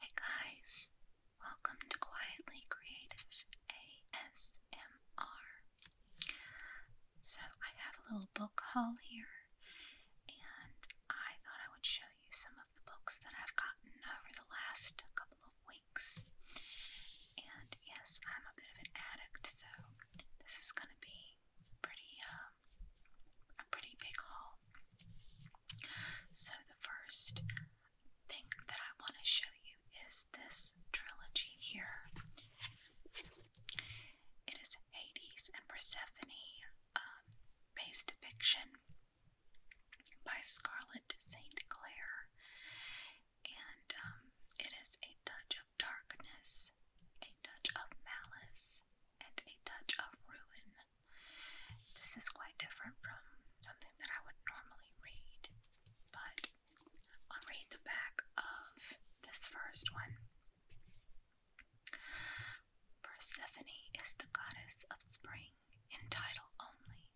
Hey guys, welcome to Quietly Creative ASMR. So, I have a little book haul here, and I thought I would show you some of the books that I've gotten over the last couple of weeks. And yes, I'm a bit of an addict, so this is going to be pretty um, a pretty big haul. So, the first thing that I want to show you is this trilogy here. It is Hades and Persephone, um, based fiction by Scarlett St. Clair, and um, it is a touch of darkness, a touch of malice, and a touch of ruin. This is quite different from something that I would normally read, but I'll read the back of this first one. Persephone is the goddess of spring in title only.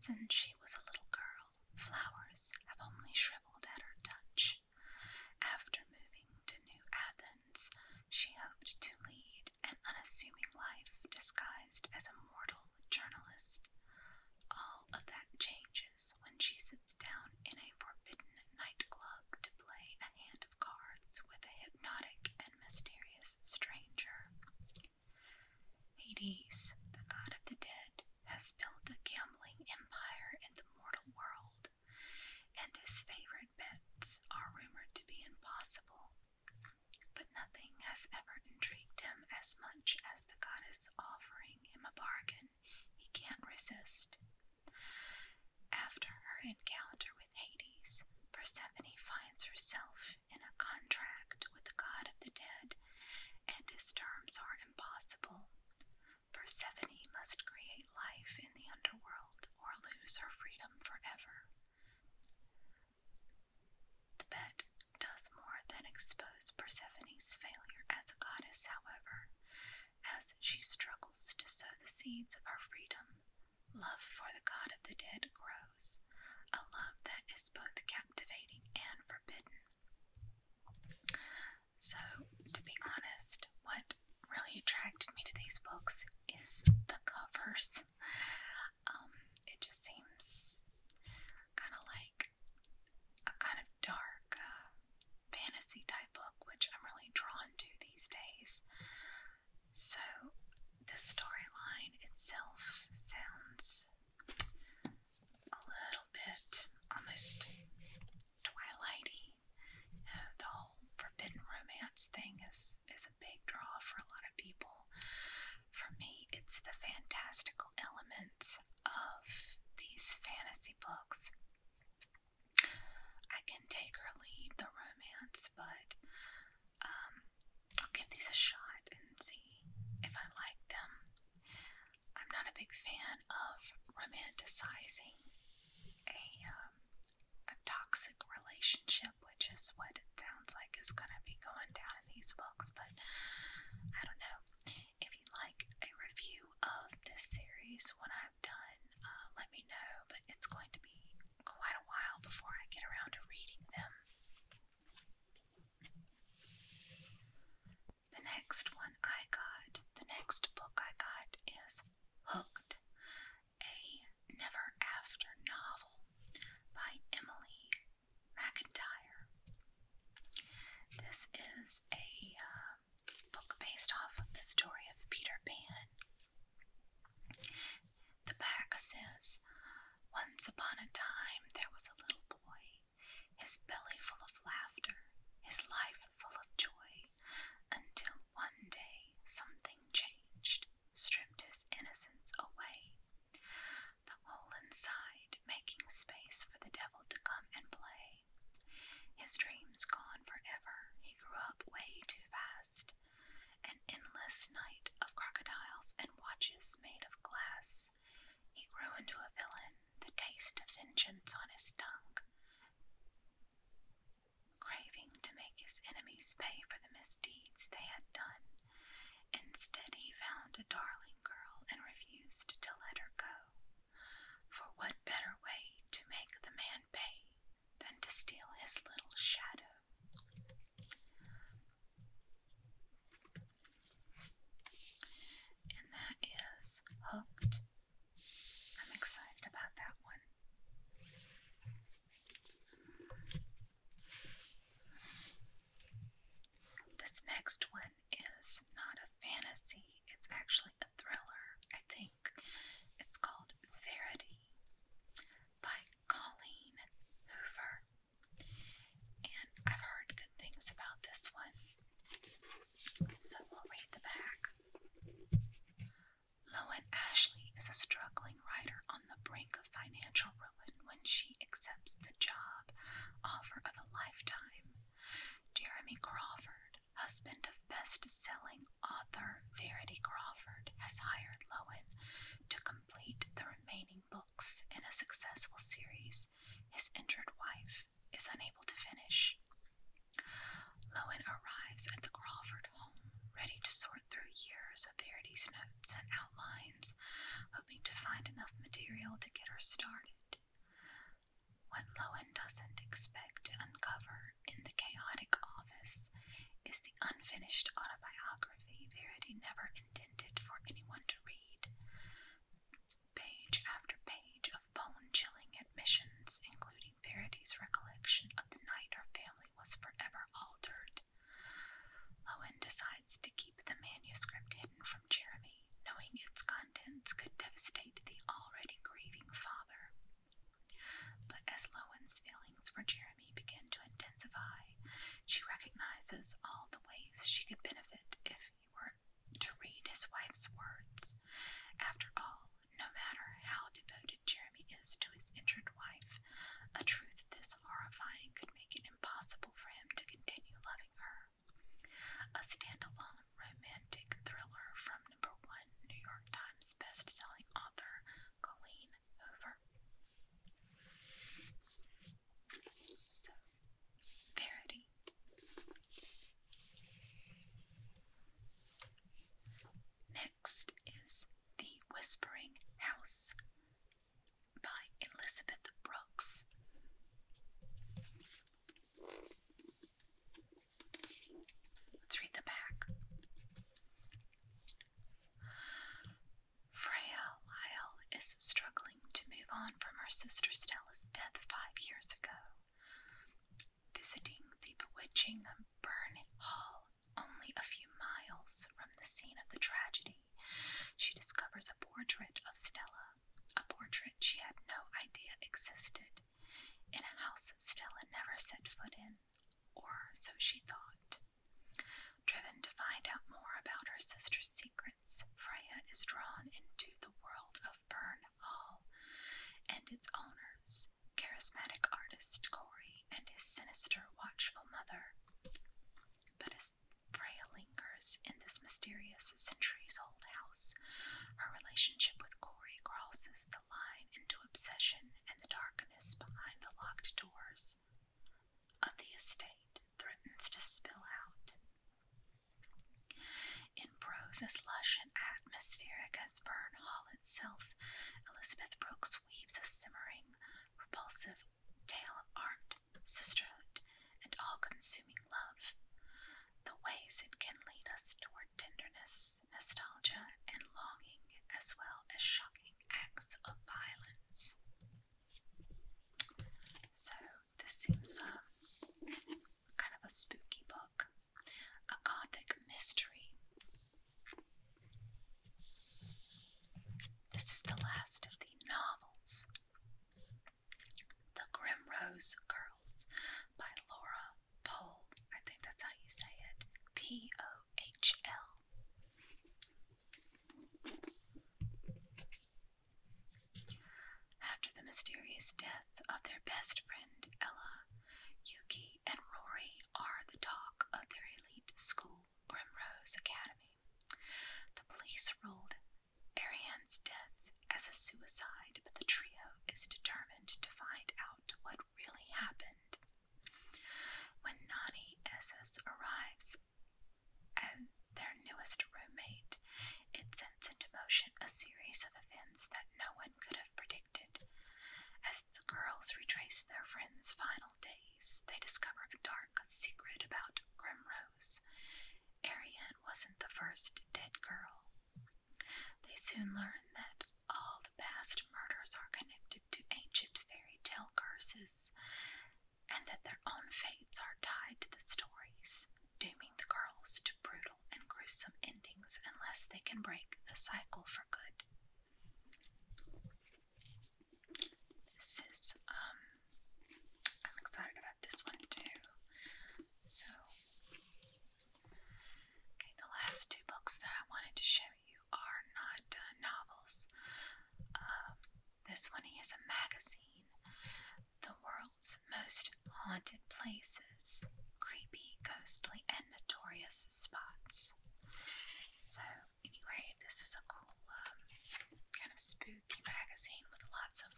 Since she was a little girl, flowers have only shriveled at her touch. After moving to New Athens, she hoped to lead an unassuming life disguised as a mortal journalist. All of that changes when she sits down in a forbidden nightclub to play a hand of cards with a hypnotic and mysterious stranger. Hades, the god of the dead, has built a gambling empire in the mortal world, and his favorite bets are rumored to be impossible, but nothing has ever intrigued him as much as the goddess offering him a bargain he can't resist. After her encounter with Hades, Persephone finds herself in a contract with the god of the dead, and his terms are impossible. Persephone must create life in the underworld or lose her freedom forever. The bet does more than expose Persephone's failure as a goddess, however, as she struggles to sow the seeds of her freedom. Love for the god of the dead grows, a love that is both captivating and forbidden. So, to be honest, what really attracted me to these books is the covers. Um, it just seems kind of like a kind of dark uh, fantasy type book, which I'm really drawn to these days. So, the storyline itself sounds a little bit almost twilighty. the whole forbidden romance thing is is a big draw for a lot of people. For me, it's the fantastical elements of these fantasy books. I can take or leave the romance, but um, I'll give these a shot and see if I like them. I'm not a big fan of romanticizing a um, a toxic relationship, which is what it sounds like is going to be going down in these books. But I don't know. If you'd like a review of this series when i am done, uh, let me know. But it's going to be quite a while before I get around to reading them. The next one I got, the next book I got is Hooked, a never after novel by Emily McIntyre. This is a uh, book based off of the story of Peter Pan. The back says, Once upon a time there was a little boy, his belly full of laughter, his life full of joy, until one day something changed, stripped his innocence away, the hole inside making space for the devil to come and play. His dreams gone forever, he grew up way too fast. An endless night of crocodiles and watches made of glass. He grew into a villain, the taste of vengeance on his tongue. Craving to make his enemies pay for the misdeeds they had done, instead he found a darling girl and refused to let her go. For what better way to make the man pay than to steal his little shadow? And that is Hooked I'm excited about that one. This next one is not a fantasy, it's actually a thriller, I think. It's called Verity by Colleen Hoover. And I've heard good things about this one. So we'll read the back. Lowen Ashley is a struggling writer on the brink of financial ruin when she accepts the job offer of a lifetime. Jeremy Crawford, husband of best-selling author Verity Crawford, has hired Lowen to complete the remaining books in a successful series his injured wife is unable to finish. Lowen arrives at the Crawford home, ready to sort through years of Verity's notes and outlines, hoping to find enough material to get her started. What Lowen doesn't expect to uncover in the chaotic office is the unfinished autobiography Verity never intended for anyone to read page after page of bone-chilling admissions, including Verity's recollection of the night her family was forever altered. Lowen decides to keep the manuscript hidden from Jeremy, knowing its contents could devastate the already grieving father. But as Lowen's feelings for Jeremy begin to intensify, she recognizes all the ways she could benefit if he were to read his wife's words. After all, no matter how devoted Jeremy is to his injured wife, a truth this horrifying could make it impossible for him to continue loving her. A standalone romantic thriller from number one New York Times best-selling author Colleen Hoover. So, Verity Next is The Whispering House by Elizabeth Brooks. Let's read the back. Freya Lyle is struggling to move on from her sister Stella's death five years ago visiting the bewitching Burn Hall, only a few miles from the scene of the tragedy, she discovers a portrait of Stella, a portrait she had no idea existed, in a house Stella never set foot in, or so she thought. Driven to find out more about her sister's secrets, Freya is drawn into the world of Burn Hall and its owners, charismatic artist Corey and his sinister, watchful mother. But as Freya lingers in this mysterious, centuries old house, her relationship with Corey crosses the line into obsession and the darkness behind the locked doors of the estate threatens to spill out in prose as lush and atmospheric as Burn Hall itself, Elizabeth Brooks weaves a simmering, repulsive tale of art, sisterhood, and all consuming love. The ways it can lead us toward tenderness, nostalgia, and longing, as well as shocking acts of violence. So, this seems um, kind of a spooky book, a gothic mystery. This is the last of the novels. The Primrose Girls by Laura Pohl. I think that's how you say it. P O H L. After the mysterious death of their best friend Ella, Yuki and Rory are the talk of their elite school, Grimrose Academy. The police ruled Ariane's death as a suicide, but the trio is determined to find out what really happened. When Nani SS arrives as their newest roommate, it sets into motion a series of events that no one could have predicted. As the girls retrace their friend's final days, they discover a dark secret about Grimrose. Ariane wasn't the first dead girl. They soon learn that all the past murders are connected to ancient fairy tale curses, and that their own fates are tied to the stories dooming the girls to brutal and gruesome endings unless they can break the cycle for good. This is, um, I'm excited about this one too. So, okay, the last two books that I wanted to show you are not uh, novels. Um, this one is a magazine. The world most haunted places, creepy, ghostly, and notorious spots. So, anyway, this is a cool, um, kind of spooky magazine with lots of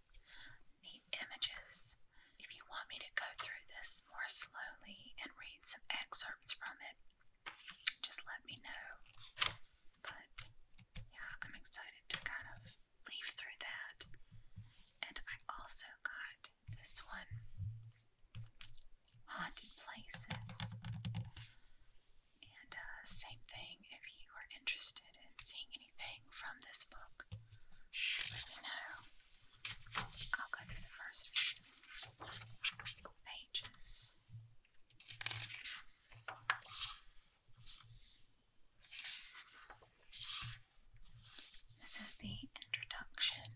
neat images. If you want me to go through this more slowly and read some excerpts from it, just let me know. But yeah, I'm excited to kind of Leave through that. And I also got this one Haunted Places. And uh, same thing, if you are interested in seeing anything from this book, let me know. I'll go through the first few pages. This is the introduction.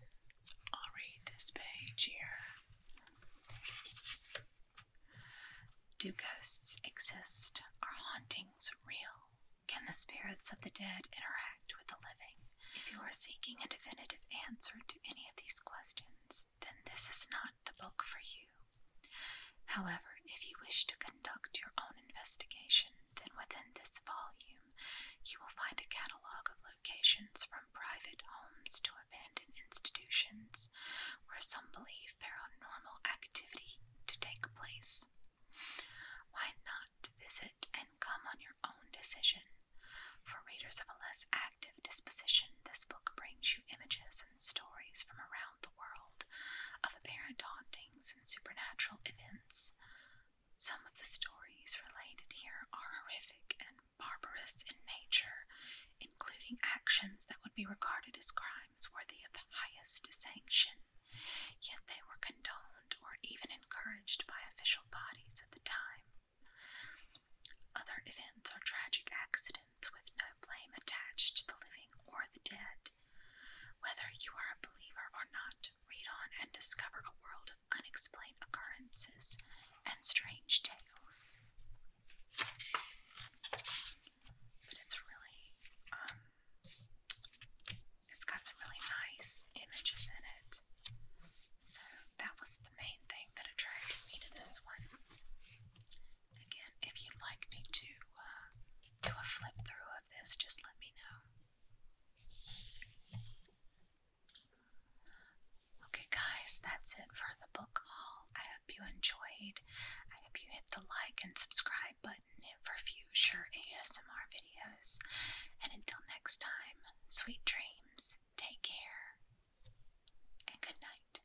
I'll read this page here. Do ghosts exist? Are hauntings real? Can the spirits of the dead interact with the living? If you are seeking a definitive answer to any of these questions, then this is not the book for you. However, if you wish to conduct your own investigation, then within this volume you will find a catalog of locations from private homes to abandoned institutions where some believe paranormal activity to take place. Why not visit and come on your own decision? For readers of a less active disposition, this book brings you images stories from around the world of apparent hauntings and supernatural events. Some of the stories related here are horrific and barbarous in nature, including actions that would be regarded as crimes worthy of the highest sanction, yet they were condoned or even encouraged by official bodies at the time. Other events are tragic accidents with no blame attached to the living or the dead. Whether you are a believer or not, read on and discover a world of unexplained occurrences and strange tales. But it's really, um, it's got some really nice images in it. So that was the main thing that attracted me to this one. Again, if you'd like me to uh, do a flip through of this, just let me know. Okay, guys, that's it for the book haul. I hope you enjoyed. I hope you hit the like and subscribe button for future ASMR videos. And until next time, sweet dreams, take care, and good night.